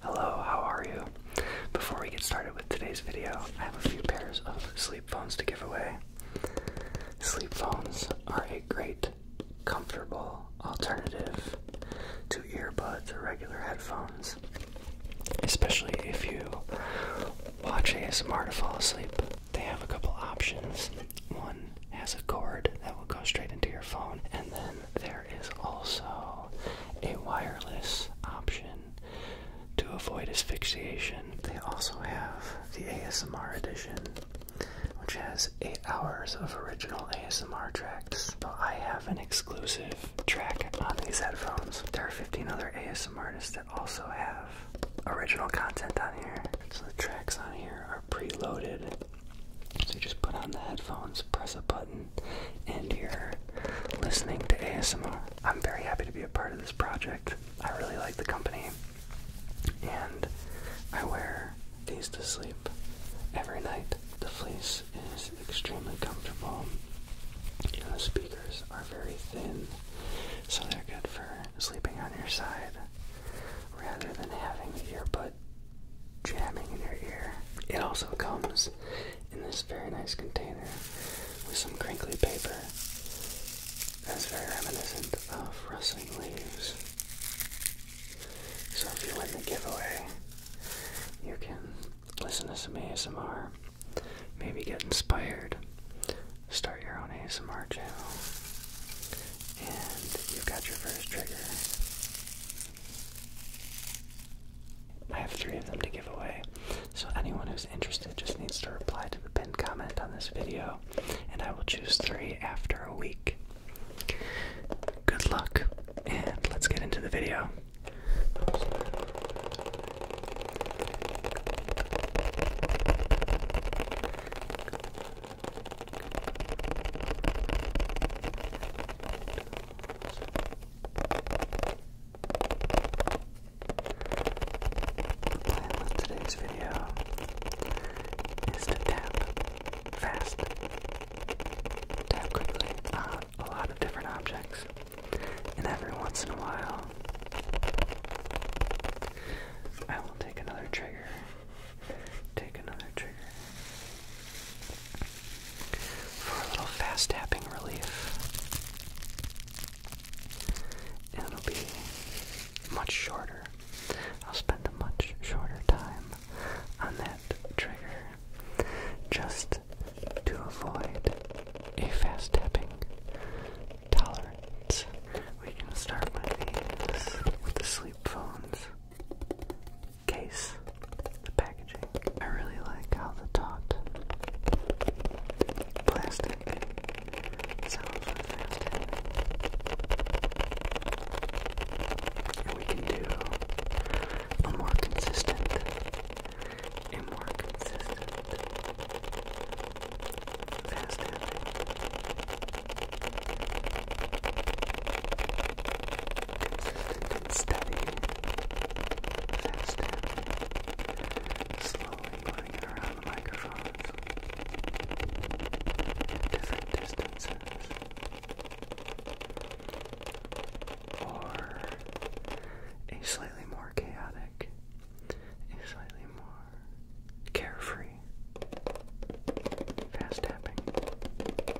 Hello, how are you? Before we get started with today's video, I have a few pairs of sleep phones to give away. Sleep phones are a great, comfortable alternative to earbuds or regular headphones, especially if you watch ASMR to fall asleep. They have a couple options. One has a cord that will go straight into your phone, and then there is also a wireless option to avoid asphyxiation. They also have the ASMR edition, which has eight hours of original ASMR tracks. But I have an exclusive track on these headphones. There are 15 other ASMR artists that also have original content on here. So the tracks on here are preloaded. So you just put on the headphones, press a button, and you're listening to ASMR. I'm very happy to be a part of this project. I really like the company, and I wear these to sleep every night. The fleece is extremely comfortable, and the speakers are very thin, so they're good for sleeping on your side rather than having the earbud jamming in your ear. It also comes in this very nice container with some crinkly paper that's very reminiscent of rustling leaves. So if you win the giveaway, you can listen to some ASMR, maybe get inspired, start your own ASMR channel, and you've got your first trigger. I have three of them to give away. So anyone who's interested just needs to reply to the pinned comment on this video, and I will choose three after a week. Good luck, and let's get into the video plan with today's video is to tap fast, tap quickly on a lot of different objects, and every once in a while, I will take another trigger, take another trigger, for a little fast tapping relief. And it'll be much shorter. I'll spend a much shorter time on that trigger just to avoid a fast tapping tolerance. We can start with these with the sleep phones case, the packaging. I really like how the taut plastic sounds we can do a more consistent and more consistent Consistent steady, fast tapping, slowly moving around microphones different distances, or a slightly more chaotic, a slightly more carefree fast tapping.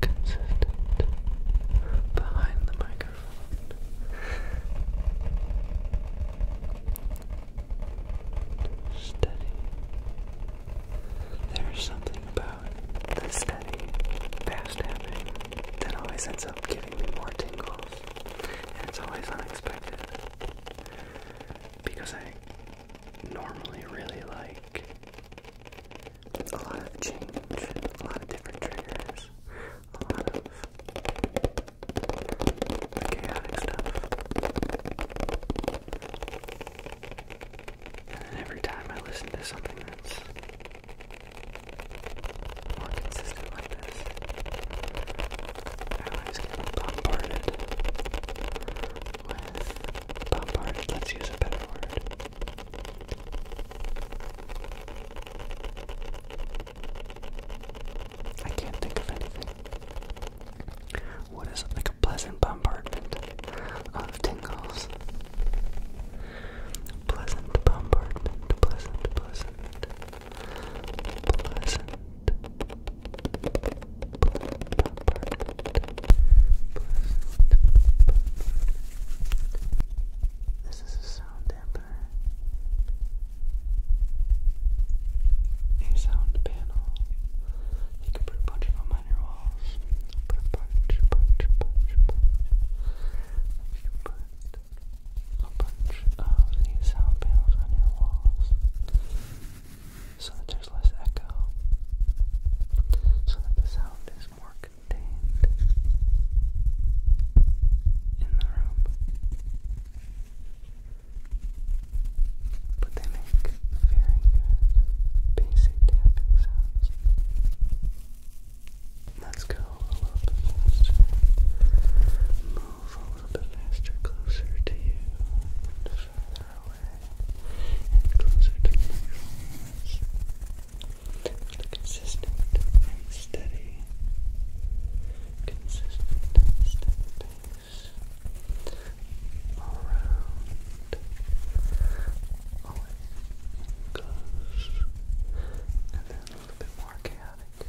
consistent behind the microphone. Steady. There's something about the steady, fast tapping that always ends up giving me more tingles. And it's always unexpected. Because I normally really like a lot of change, a lot of different triggers, a lot of chaotic stuff. And every time I listen to something that's more consistent like this, I always get bombarded with bombarded, let's use a better word. I can't think of anything. What is like a pleasant bombardment of tingles? Pleasant bombardment, pleasant, pleasant, pleasant this is a sound damper. A sound panel. You can put a bunch of them on your walls. Put a bunch, bunch, bunch, bunch. You can a bunch of these sound panels on your walls so that there's less echo, so that the sound is is more contained in the room. But they make very good basic tapping sounds. Let's go a little bit faster. Move a little bit faster, closer to you, and further away, and closer to the consistent and steady, consistent steady all around, always goes, and then a little bit more chaotic.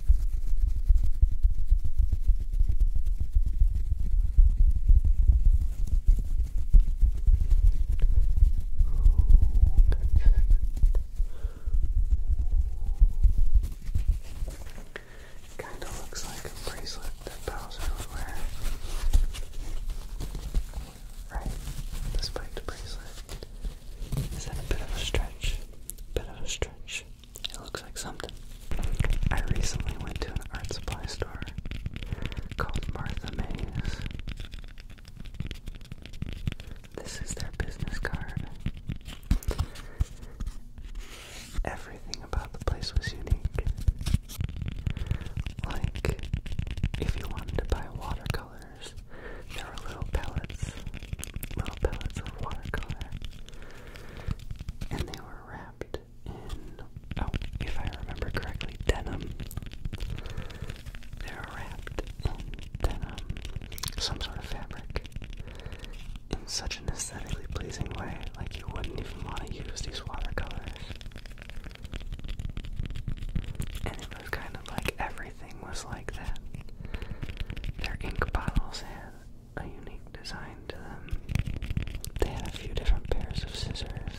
Kinda looks like a bracelet that Bowser would Right? The spiked bracelet. Is that a bit of a stretch? Bit of a stretch. It looks like something. I recently went to an art supply store called Martha Mays. This is their business card. Everything about the place was unique. Like, if you wanted to buy watercolors, there were little pellets, little pellets of watercolor and they were wrapped in, oh, if I remember correctly, denim. They were wrapped in denim, some sort of fabric, in such an aesthetically pleasing way, like you wouldn't even want to use these watercolors. And it was kind of like everything was like that. Their ink bottles had a unique design to them. They had a few different pairs of scissors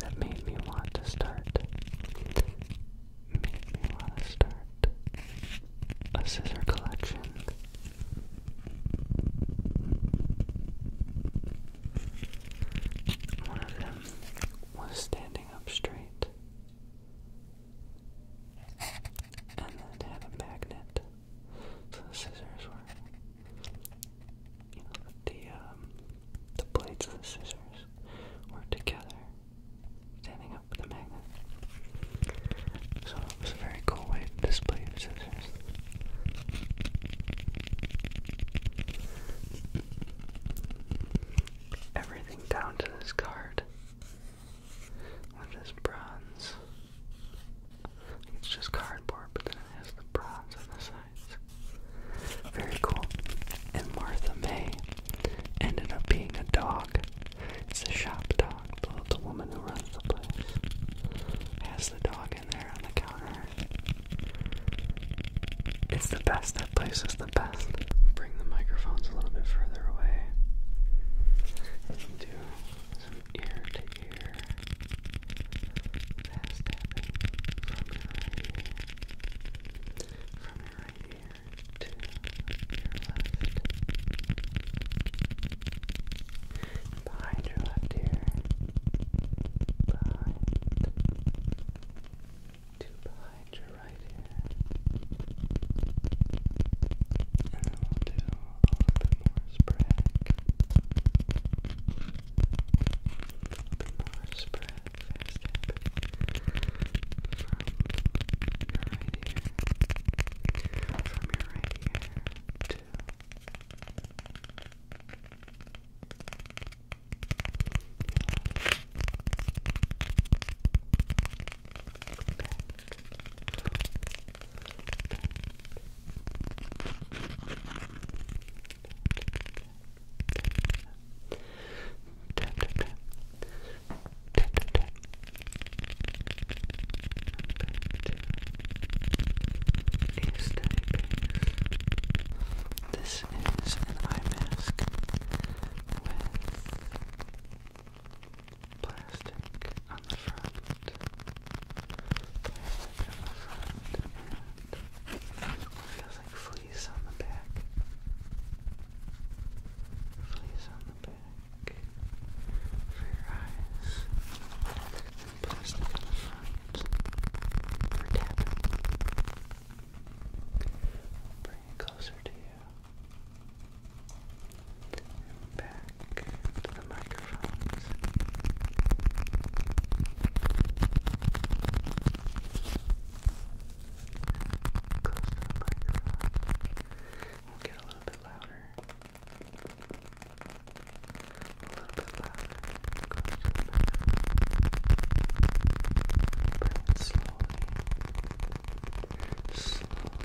that made me want to start. Made me want to start a scissors collection. One of them was standing up straight and then had a magnet, so the scissors were, you know, the um, the blades of the scissors were together, standing up with the magnet. So it was a very cool way to display your scissors. Everything down to this card what is bronze? It's just cardboard, but then it has the bronze on the sides. Very cool. And Martha May ended up being a dog. It's a shop dog. The, the woman who runs the place has the dog in there on the counter. It's the best. That place is the best. Bring the microphones a little bit further away do some ear to ear from your from your to your left, behind your left ear, behind to behind your right ear, and we'll do a little bit more spread. A little bit more spread, from your right ear, from your right ear to this is an eye mask plastic on the front, plastic on the front, and it fleece on the back, fleece on the back for your eyes, plastic on the front for tapping. Bring it closer to you back to the microphones. Close the microphone. get a little bit louder. A little bit louder. Close the microphone. Breathe slowly. Slowly.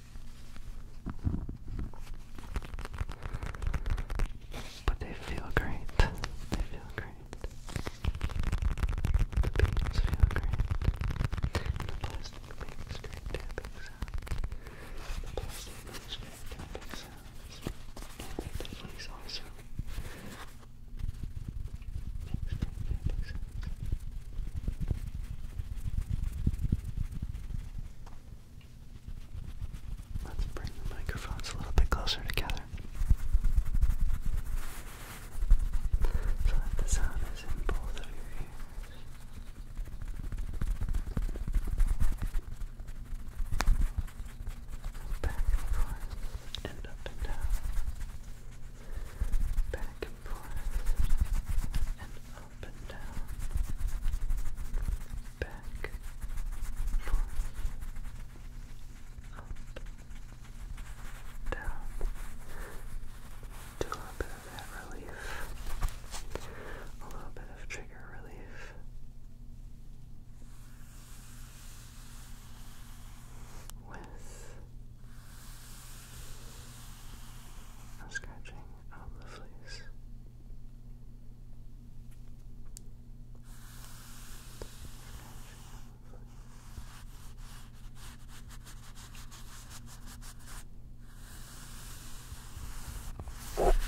But they feel great. They feel great. The beans feel great. And the plastic makes great tapping sounds. The plastic makes great tapping sounds. And the also great Let's bring the microphones a little bit closer together so that the sound is in both of your ears. Back and forth and up and down. Back and forth and up and down, back, forth, up, down, do a little bit of that relief, a little bit of trigger relief. With scratching out the fleece. Scratching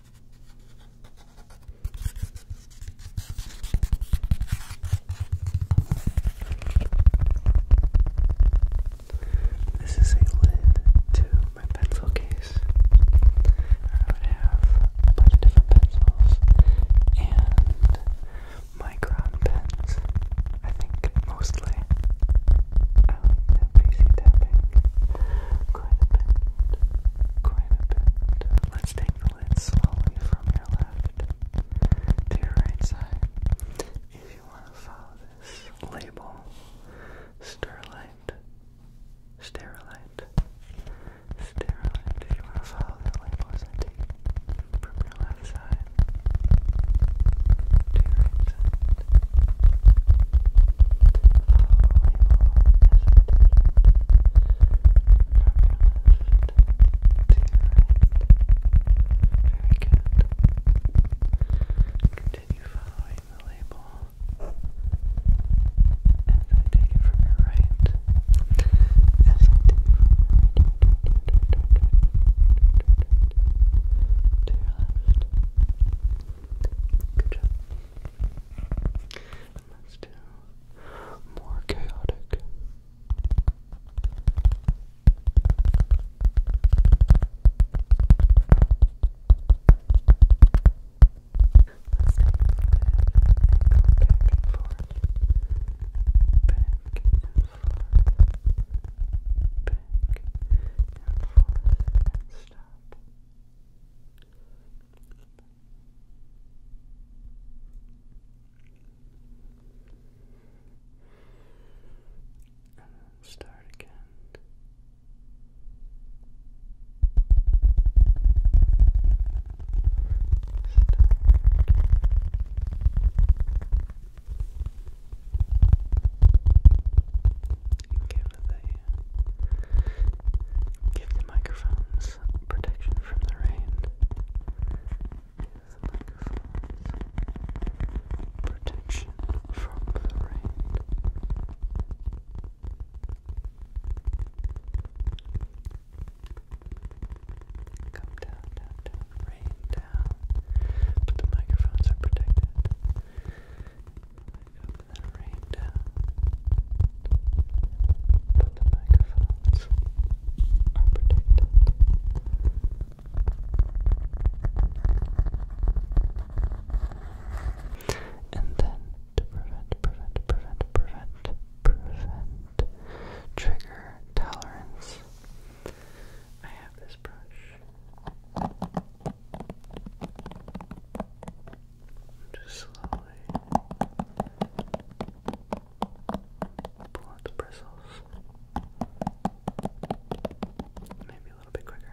This is a lid to my pencil case. I have a bunch of different pencils and micron pens, I think mostly quite a bit. Quite a bit. Let's take the lid slowly from your left to your right side. If you want to follow this label, Starlight, Sterilite, Sterilite, if you want to follow that label as I take from your left side to your right side. Very good. Continue following the label. As I take it from your right. As I take it from your right. To your left. Good job. And let's do more chaotic. Let's go back and forth. Back and forth. Back and forth and Stop. And then start again. Start again. Give it the give the microphones protection from the rain. microphones protection from the rain. Come down, down, down, rain down. But the microphones are protected then rain down but the microphones are protected and then to prevent, prevent, prevent, prevent, prevent trigger tolerance I have this brush just slowly pull out the bristles. Maybe a little bit quicker.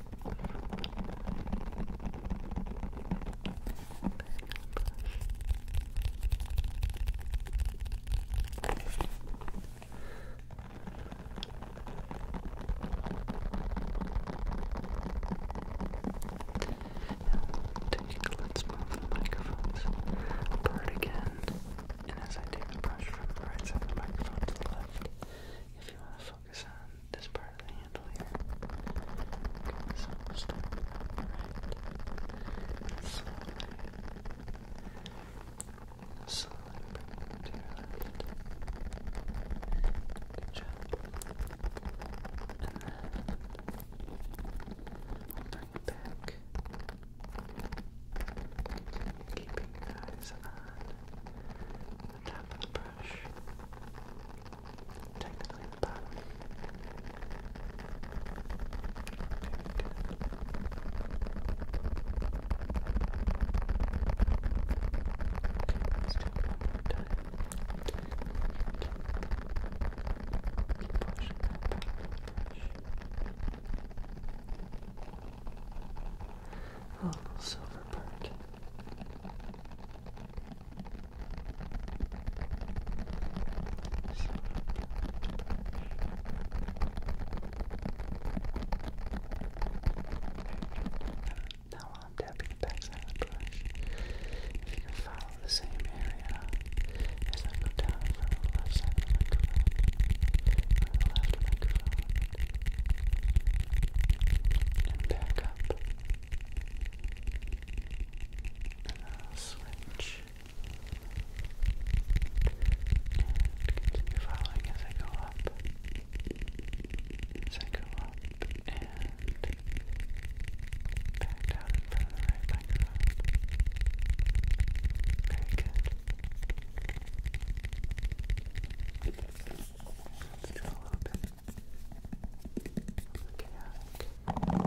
Let's move the microphones apart again. And as I take the brush from the right side of the microphone to the left, if you want to focus on this part of the handle here, get this almost right, and slowly, slowly bring it to your left. Good job. And then we'll bring it back, keeping your eyes on the top the brush, technically the bottom. Okay, let's do it one more time. Keep pushing a oh, little silver bird. Now I'm tapping backside brush, if you can follow the same area as I go down from the left side of the microphone, left microphone and back up. And I'll switch and continue following as I go up. As I go up and back down in the right microphone. Very good. Let's do a little bit of chaotic. Okay.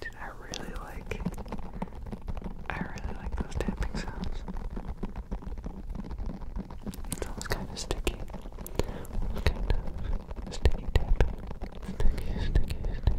Dude, I really like I really like those tapping sounds. It's almost kinda sticky. Almost kind of sticky tapping. Sticky, sticky, sticky.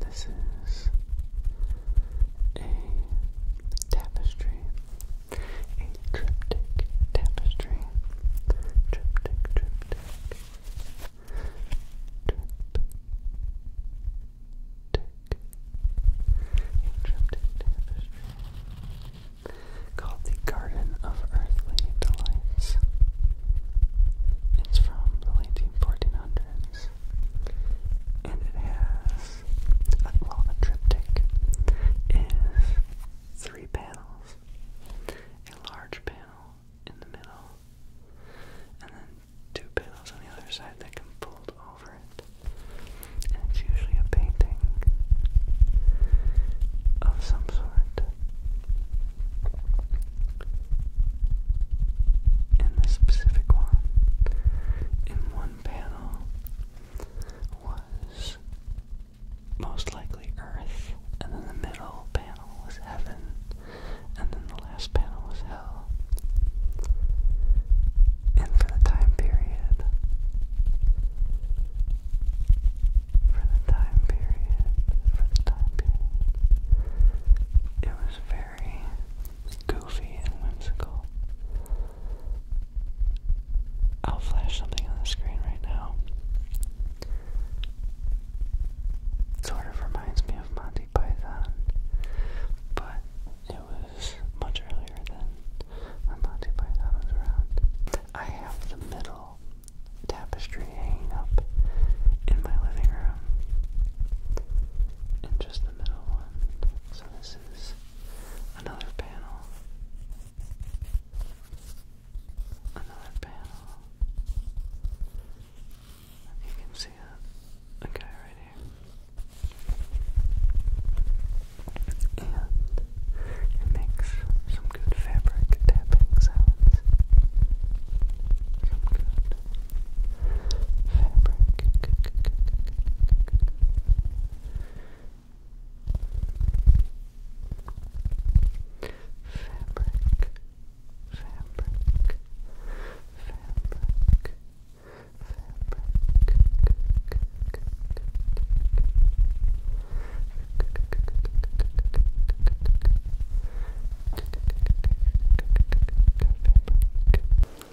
This is a tapestry a triptych tapestry. Triptych, triptych, triptych, tapestry called the Garden of Earthly Delights. It's from the late 1400s, and it has, well, a triptych is three panels panels, a large panel in the middle, and then two panels on the other side that can fold over it. And it's usually a painting of some sort. In this specific one, in one panel was most likely Earth, and then the middle panel was heaven, and then the last panel was hell. And for the time period, for the time period, for the time period, it was very goofy and whimsical. I'll flash something on the screen right now Sort of reminds me of Monty Python, but it was much earlier than when Monty Python was around. I have the middle tapestry hanging up in my living room, and just the middle one. So this is another panel another panel. You can see that. Okay, right here. And it makes some good fabric tapping sounds. Some good fabric fabric, fabric, fabric.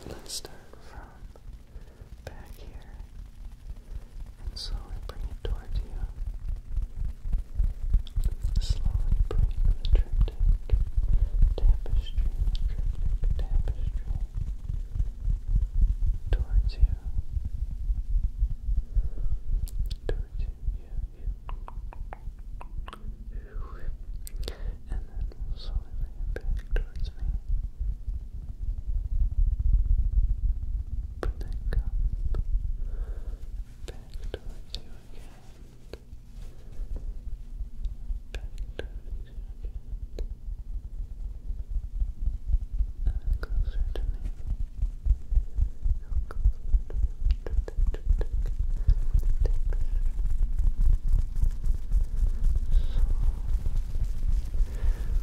Let's start from back here and so I bring it towards you. Slowly bring the triptych tapestry, triptych tapestry towards you. Towards you, you, you. And then slowly bring it back towards me back towards you again, back towards you again, and closer closer to me, so,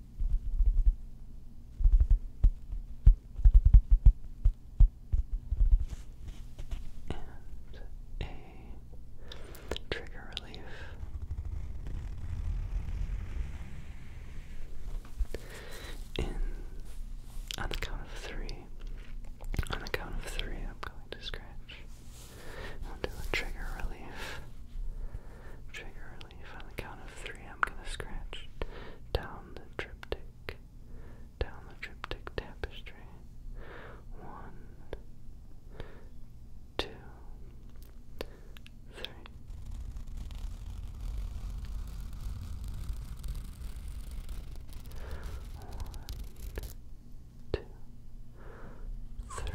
and a trigger relief. In on the count of three, on the count of three, I'm going to scratch. I'll do trigger relief, trigger on the count of three, I'm going to scratch down the triptych, down the triptych tapestry. One, two, three. One, two, three.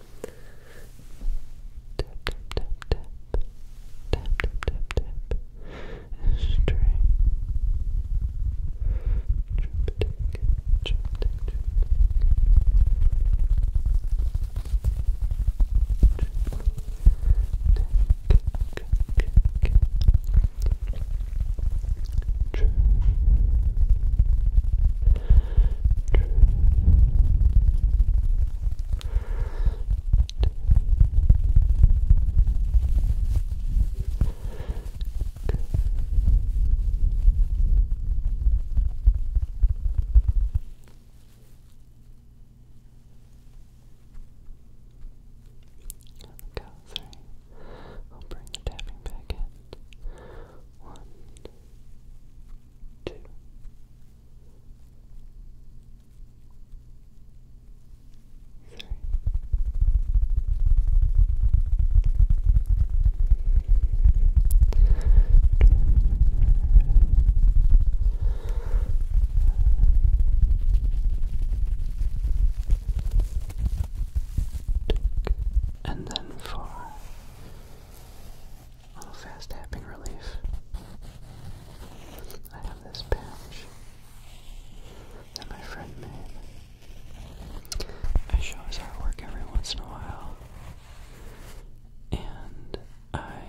Tap tap tap tap. Tap tap tap tap. String. Trip tick. Trip tick. Trip tick. True. True. I'll bring the tapping back in. One, two. And then four. Oh, fast tapping relief. I have this patch that my friend made. I show his artwork every once in a while. And I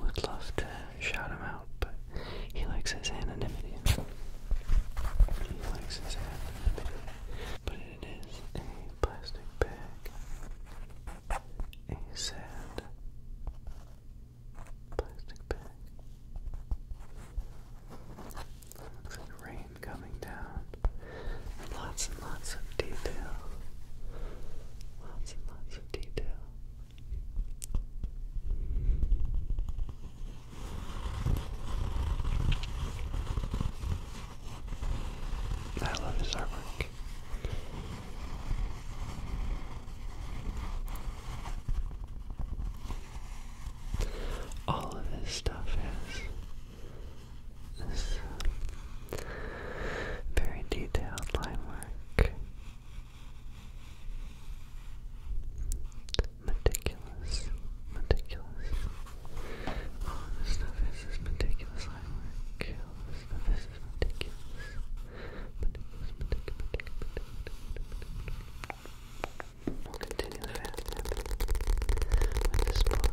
would love to shout him out, but he likes his anonymity. He likes his anonymity it is a plastic bag, He said, plastic bag. Looks like rain coming down. lots and lots of detail. Lots and lots of detail. I love his artwork. All of his stuff has this uh, very detailed line work, meticulous, meticulous. Oh, this stuff is this meticulous ironwork. All of this stuff is this meticulous. Meticulous, We'll continue the fast tapping this book.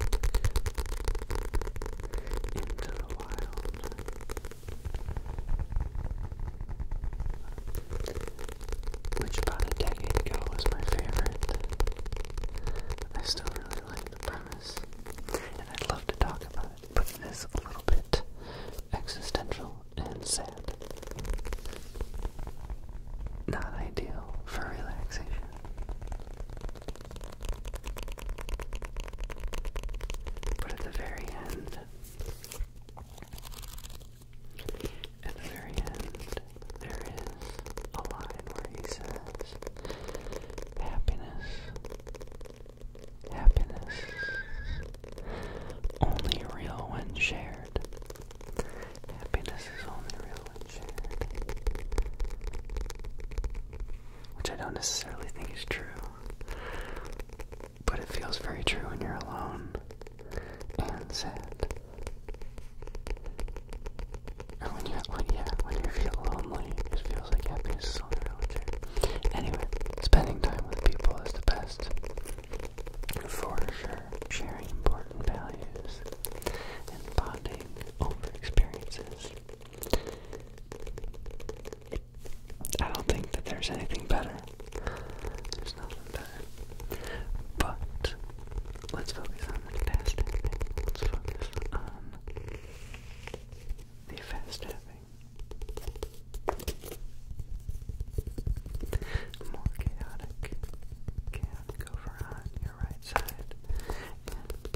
Into the Wild. Which about a was my favorite. I still really like the premise, and I'd love to talk about it, but it is a little bit existential and sad. Not ideal for relaxation. But at the very end, at the very end, there is a line where he says, Happiness, happiness, only real when shared. Happiness is only real when shared. Which I don't necessarily think is true, but it feels very true when you're alone and sad. And when you, when, yeah, when you feel lonely, it feels like happiness is on a wheelchair. Anyway, spending time with people is the best. For sure, sharing important values and bonding over experiences. I don't think that there's anything better. There's nothing But let's focus on the fast Let's focus on the fast More chaotic. Chaotic over on your right side. And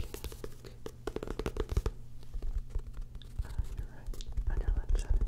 on your left side.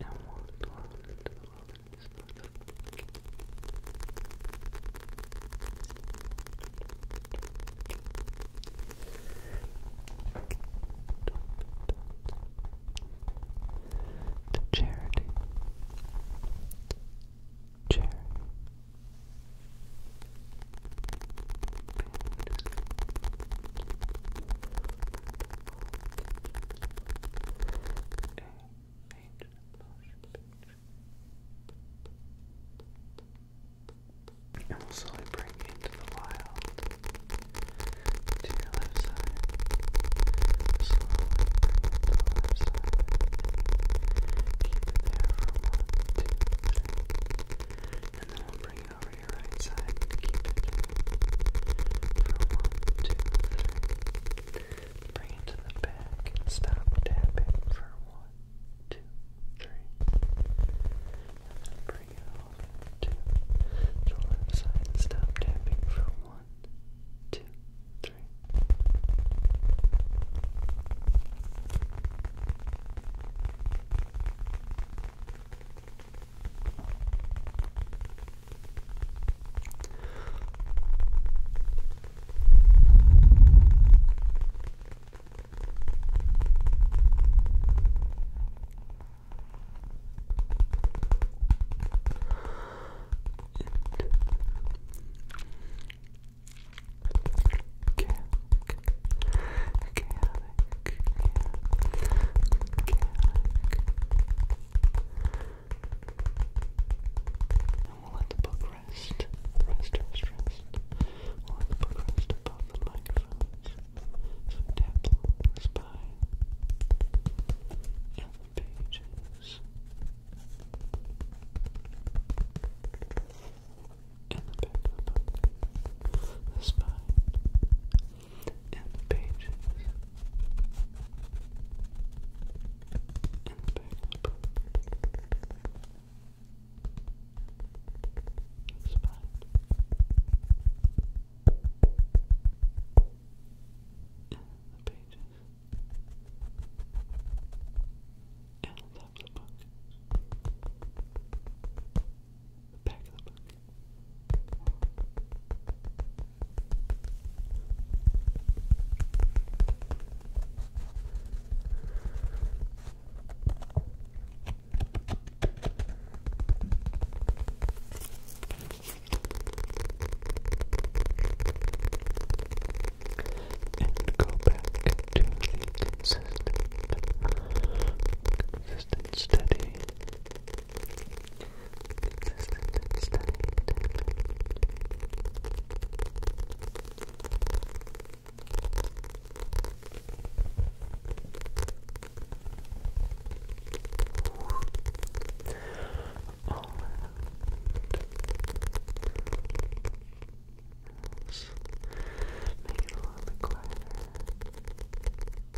and walked The charity, charity, and we'll slowly bring into the wild to your left side. Slowly bring it to the left side. Keep it there for one, two, three. And then we'll bring going over your right side keep it for one, two, three. Bring it to the back and stop tapping for one, two, three. bring it over to the left side and stop tapping for one, two, three. Chaotic, chaotic, and we'll let the book rest. Rest, rest, rest. We'll let the book rest above the microphones. So the spine and the pages. And the back of the book. The spine and pages and back That's fine. And the pages and the book. And back of And go back to the consistent, consistent, steady Consistent steady all Make it a little bit Make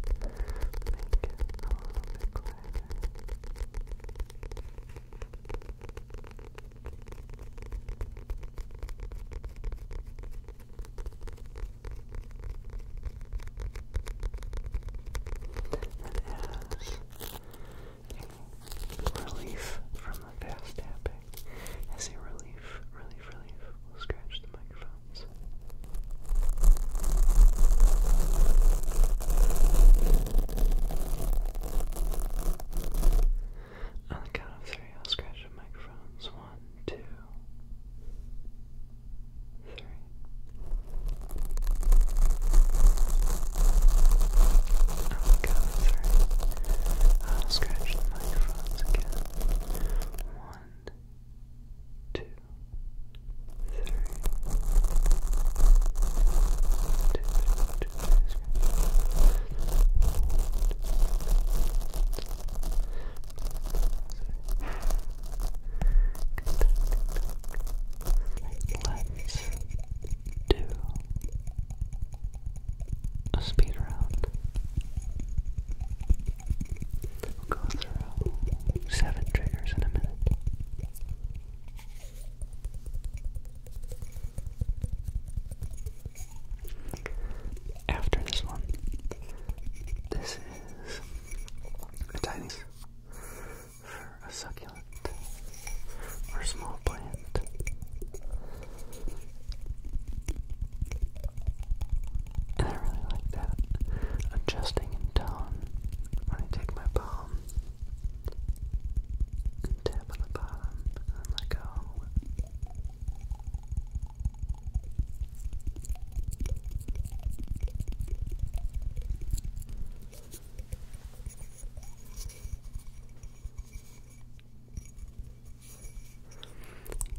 it relief from the fast tapping. As a relief, relief, relief. scratch the microphone. On the count of three, I'll scratch the microphones. One, two, three. On the count of three, I'll uh, scratch the microphones again. One, two, three, Let's do a speed round. We'll go through seven triggers in a minute. After this one, this is a tiny for a succulent or small plant. I really like that. Adjusting in tone when I take my palm tap on the bottom and let go.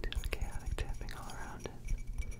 Do chaotic tapping all around it.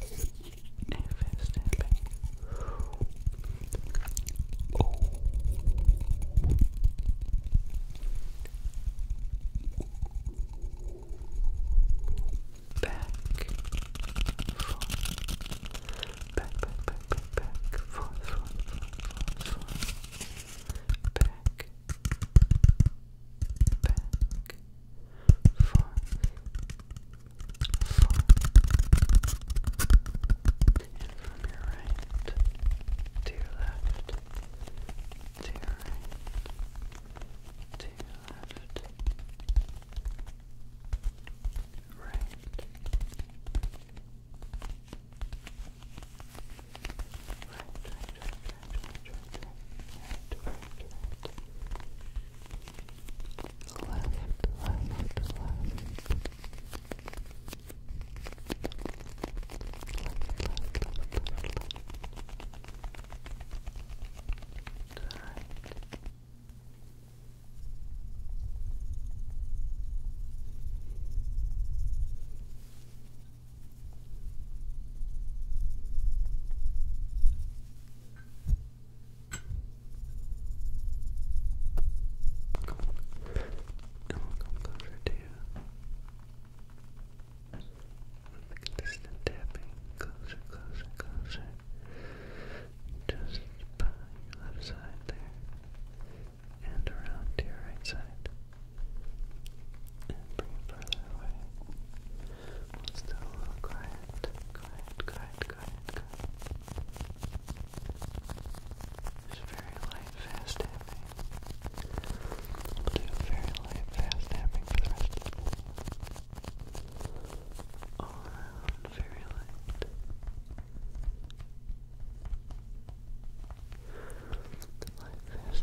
If it's Back, forth. back, back, back, back, back, forth, forth, forth, back, back, four, four, and from your right to your left, to your right, to your left, right. Right, right, right, right, right, right, right, right, right, right, left, left, left. Good. Come come closer to you. With the consistent tapping, closer, closer, closer. Just by your left side there. And around to your right side. And bring it further away. We'll still a little quiet, quiet, quiet, quiet, quiet. It's very light, fast We'll do very light, fast for the rest of the day. All around, very light. Light, fast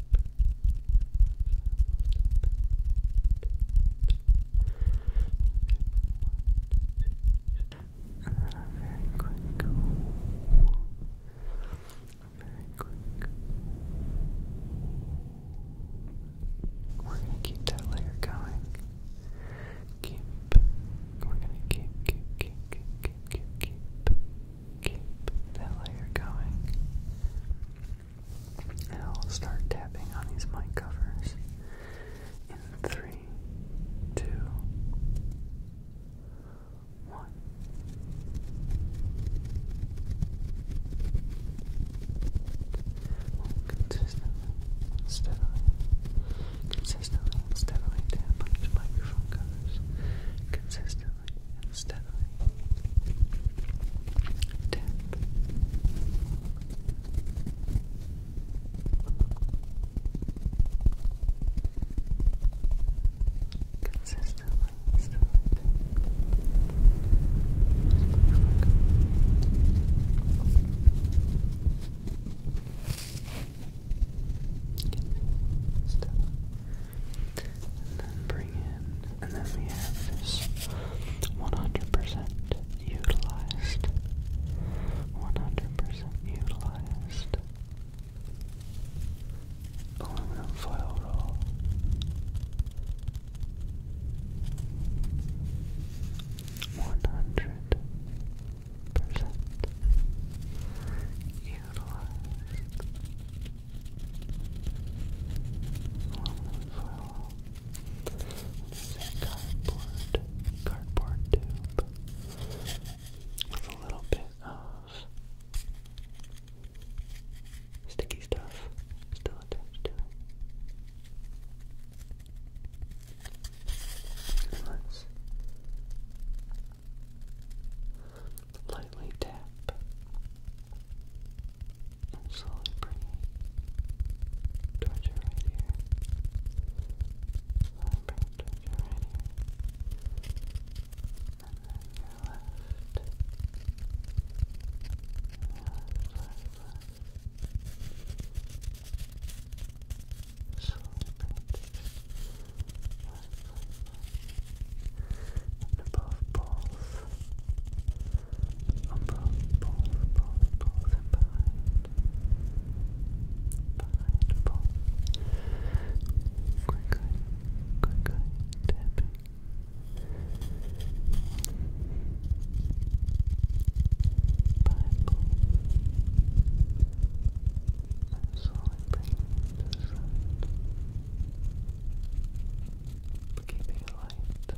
And then very quick, very quick. We're gonna keep that layer going. Keep. We're gonna keep, keep, keep, keep, keep, keep, keep that layer going. And I'll start tapping on these mic covers in three, two, one. Consistently, steadily, consistently, steadily tap these microphone covers. Consistently steadily. Tap. Consistently, steadily and then bring in and then we have this 100% utilized. 100% utilized. Aluminum foil roll. One hundred percent utilized. Well, this is cardboard, cardboard tube with a little bit of sticky stuff still attached to it. And let's lightly tap and slowly bring towards your right ear. Slowly bring it towards your right ear. And then your left. left, left, left. Slowly bring left, left, left. And above both on both poles, both behind. Behind poles. Quickly, quickly tapping. Behind poles. And slowly bringing it Keeping light.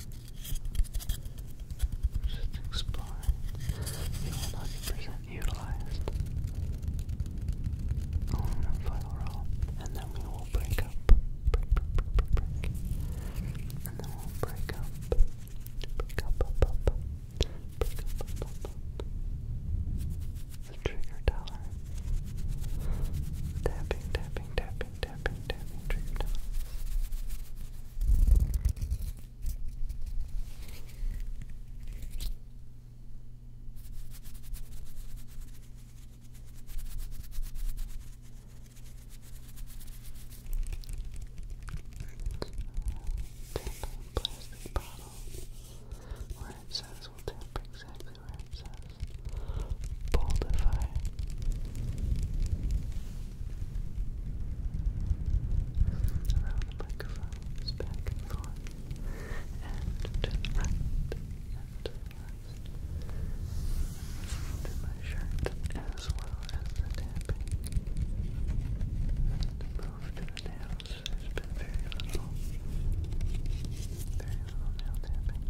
Just exploring. You percent utilized. Aluminum foil roll. And then we will break up. Break, break, break, break. And then we'll break up. Break up, up, up, Break up, up, up, The trigger dollar. Tapping, tapping, tapping tapping, tapping, trigger down. plastic bottle where it says will tap exactly influences Boldify. Around the microphones back and forth, and to my shirt as well as the tapping. And the the nails. There's been very little, very little nail tapping.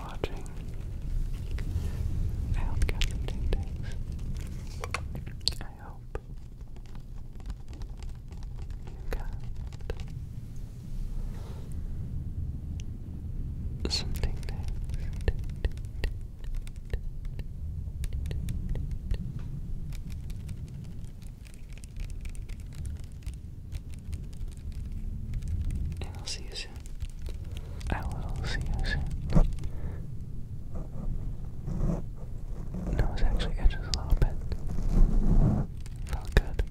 watching. I hope you got some I hope you got some And I'll see you soon. I will see you soon. No, actually itches a little bit. Felt good.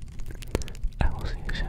I will see you soon.